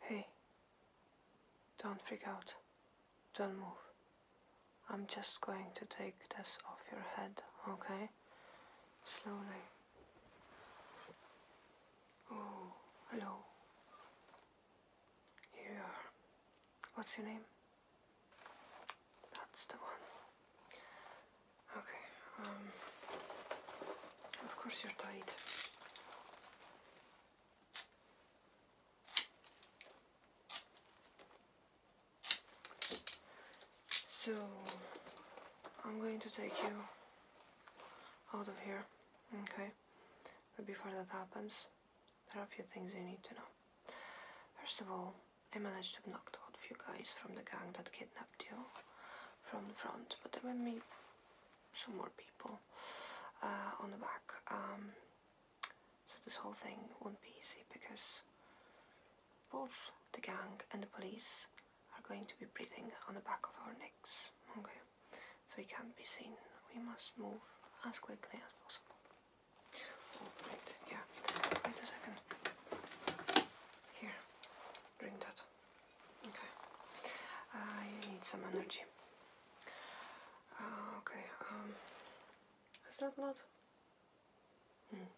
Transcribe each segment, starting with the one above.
Hey. Don't freak out. Don't move. I'm just going to take this off your head, okay? Slowly. hello. Here you are. What's your name? That's the one. Okay, um, Of course you're tied. So, I'm going to take you out of here, okay? But before that happens, there are a few things you need to know. First of all, I managed to knock out a few guys from the gang that kidnapped you from the front, but there were me some more people uh, on the back. Um, so this whole thing won't be easy because both the gang and the police are going to be breathing on the back of our necks. Okay so he can't be seen. We must move as quickly as possible. Oh, yeah. Wait a second. Here, drink that. Okay. I need some energy. Ah, okay, um, is that blood? Hmm.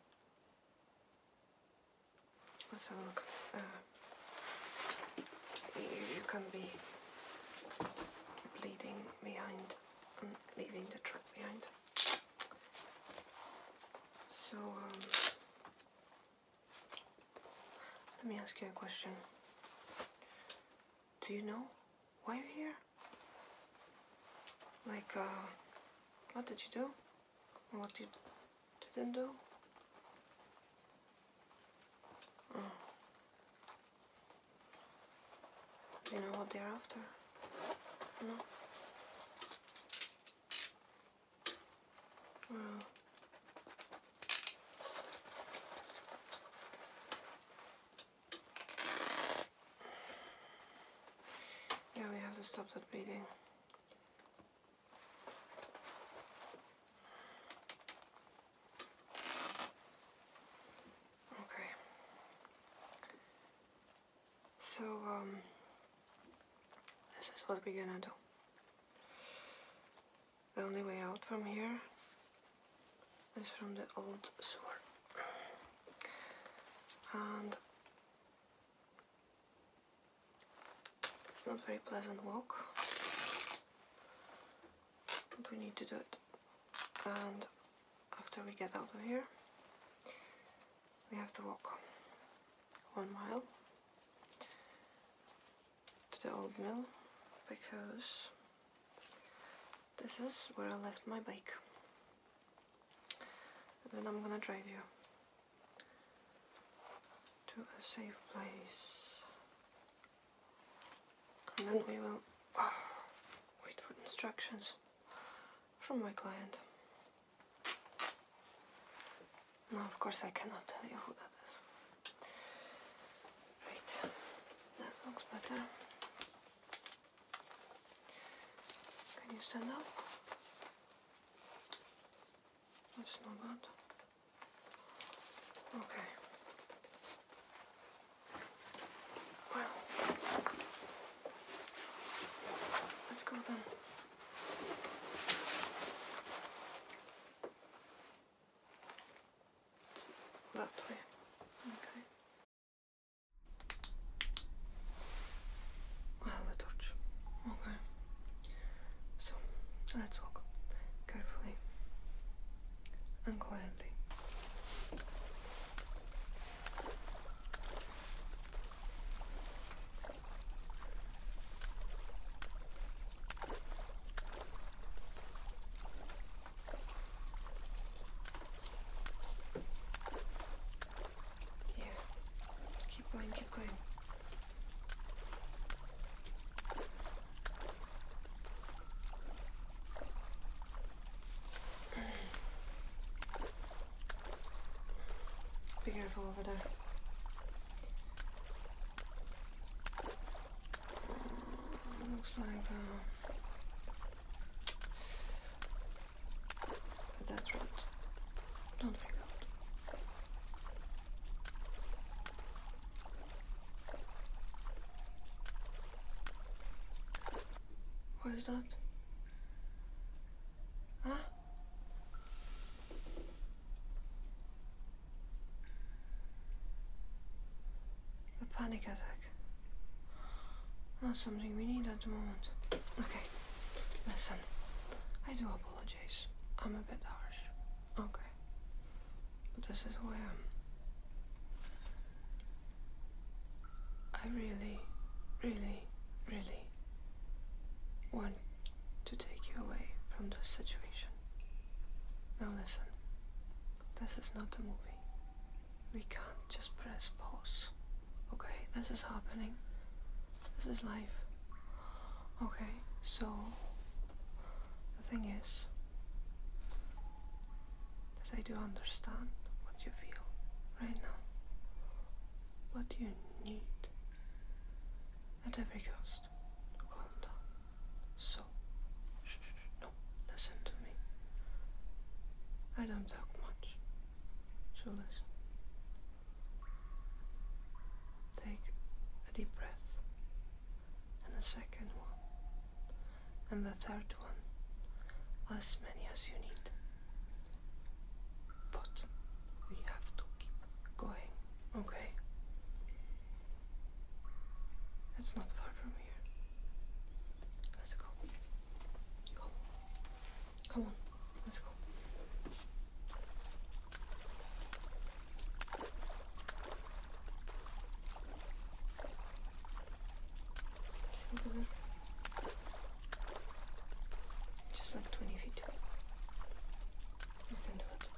Let's have a look. Uh, you can be bleeding behind and um, leaving the track behind. So, um, let me ask you a question. Do you know why you're here? Like, uh, what did you do? What you didn't do? Do mm. you know what they're after? No? Well. Yeah, we have to stop that bleeding. Okay. So, um, this is what we're gonna do. The only way out from here is from the old sewer. And it's not very pleasant walk, but we need to do it. And after we get out of here, we have to walk one mile to the old mill because this is where I left my bike. And then I'm gonna drive you to a safe place. And then we will ah, wait for instructions from my client. Now, of course I cannot tell you who that is. Right, that looks better. Can you stand up? That's not bad. Okay. Well, let's go then. That way. Okay i have a torch. Okay. So let's walk carefully and quietly. Here, Keep going, keep going. Be careful over there. Looks like uh, that's right. Don't freak out. What is that? Huh? A panic attack. Not something we need at the moment. Okay, listen. I do apologize. I'm a bit harsh. Okay. But this is where I really, really, really want to take you away from this situation. Now listen, this is not a movie. We can't just press pause Okay, this is happening. This is life. Okay, so the thing is that I do understand what you feel right now. What you need at every cost to So no, listen to me. I don't talk much. So listen. Take a deep breath, and a second one, and the third one, as many as you need. But we have to keep going, okay? It's not far from here. Let's go. Go. Come on, let's go. Just like 20 feet. You can do it.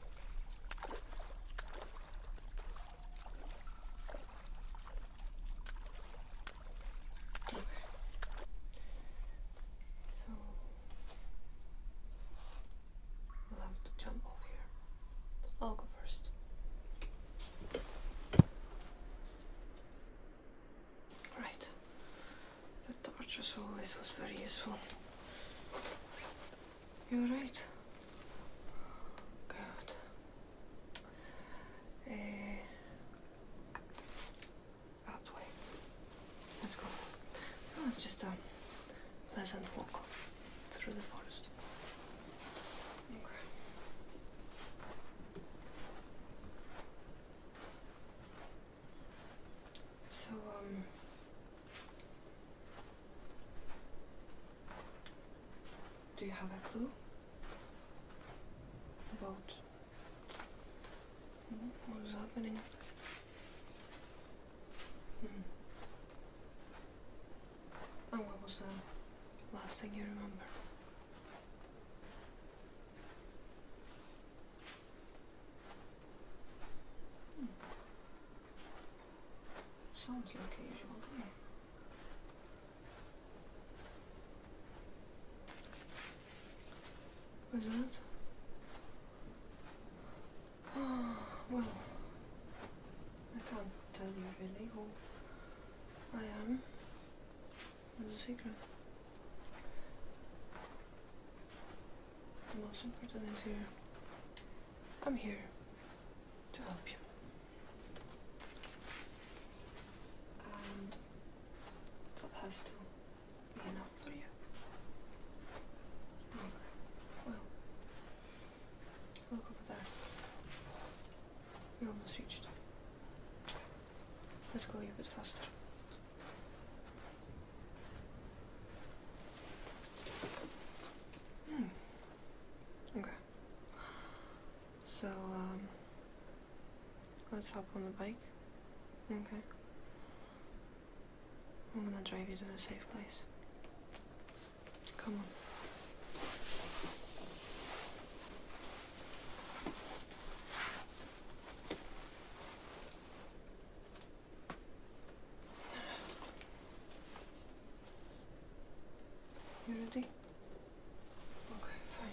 So we'll have to jump off here. I'll go first. Right. The torch as always was very useful. You're right. Good. Eh, out way. Let's go. Oh, it's just um, a pleasant walk through the forest. Okay. So, um, do you have a clue about what was happening? Mm. And oh, what was the last thing you remember? Hmm. Sounds like usual, does What's that? Oh well, I can't tell you really who I am. It's a secret. The most important is here. I'm here to help you that has to be enough for you. Okay. Well, look over there. We almost reached. Okay. Let's go a bit faster. Hmm. Okay. So, um, Let's hop on the bike. Okay. I'm gonna drive you to the safe place. Come on. You ready? Okay, fine.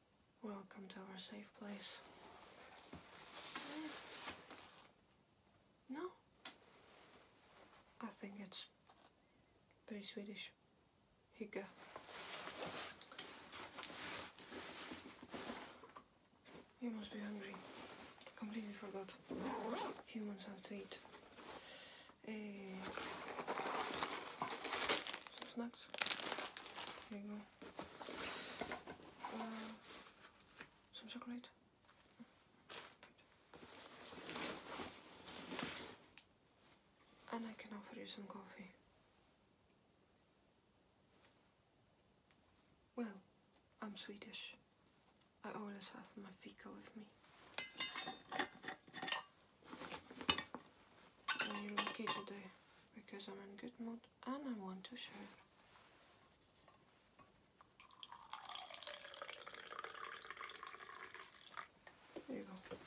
Welcome to our safe place. No. I think it's very Swedish. Hygge. You must be hungry. Completely forgot. Humans have to eat. Eh. some snacks. Here you go. Sounds some chocolate. And I can offer you some coffee. Well, I'm Swedish. I always have my fika with me. And you like today because I'm in good mood and I want to share. There you go.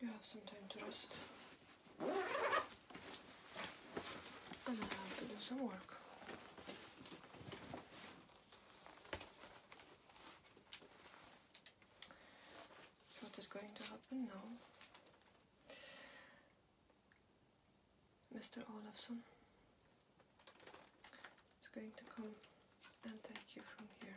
you have some time to rest. And I have to do some work. So what is going to happen now? Mr. Olafson? is going to come and take you from here.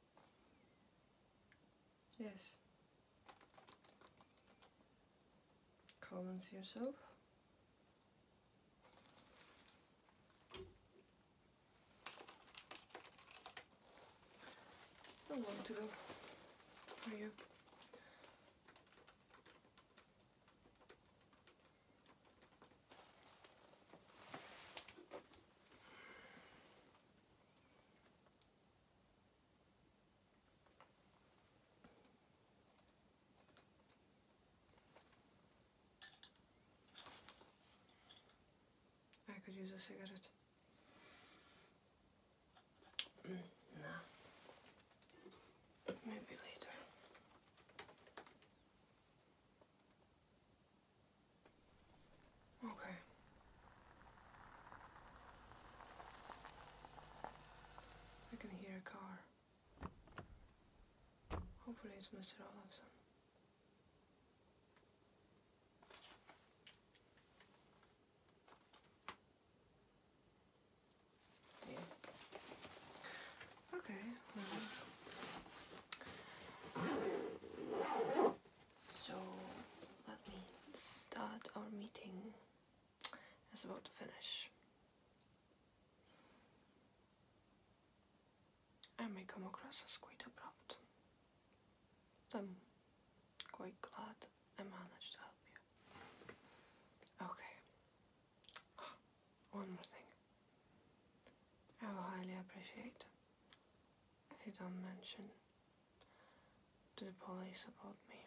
Yes. Comments yourself. How long to go for you? I could use a cigarette. Mm, nah. Maybe later. Okay. I can hear a car. Hopefully it's Mr. Olafson. Yeah. Okay, So let me start our meeting. It's about to finish. I may come across as quite abrupt. I'm quite glad I managed to help you. Okay, one more thing. I will highly appreciate if you don't mention to the police about me.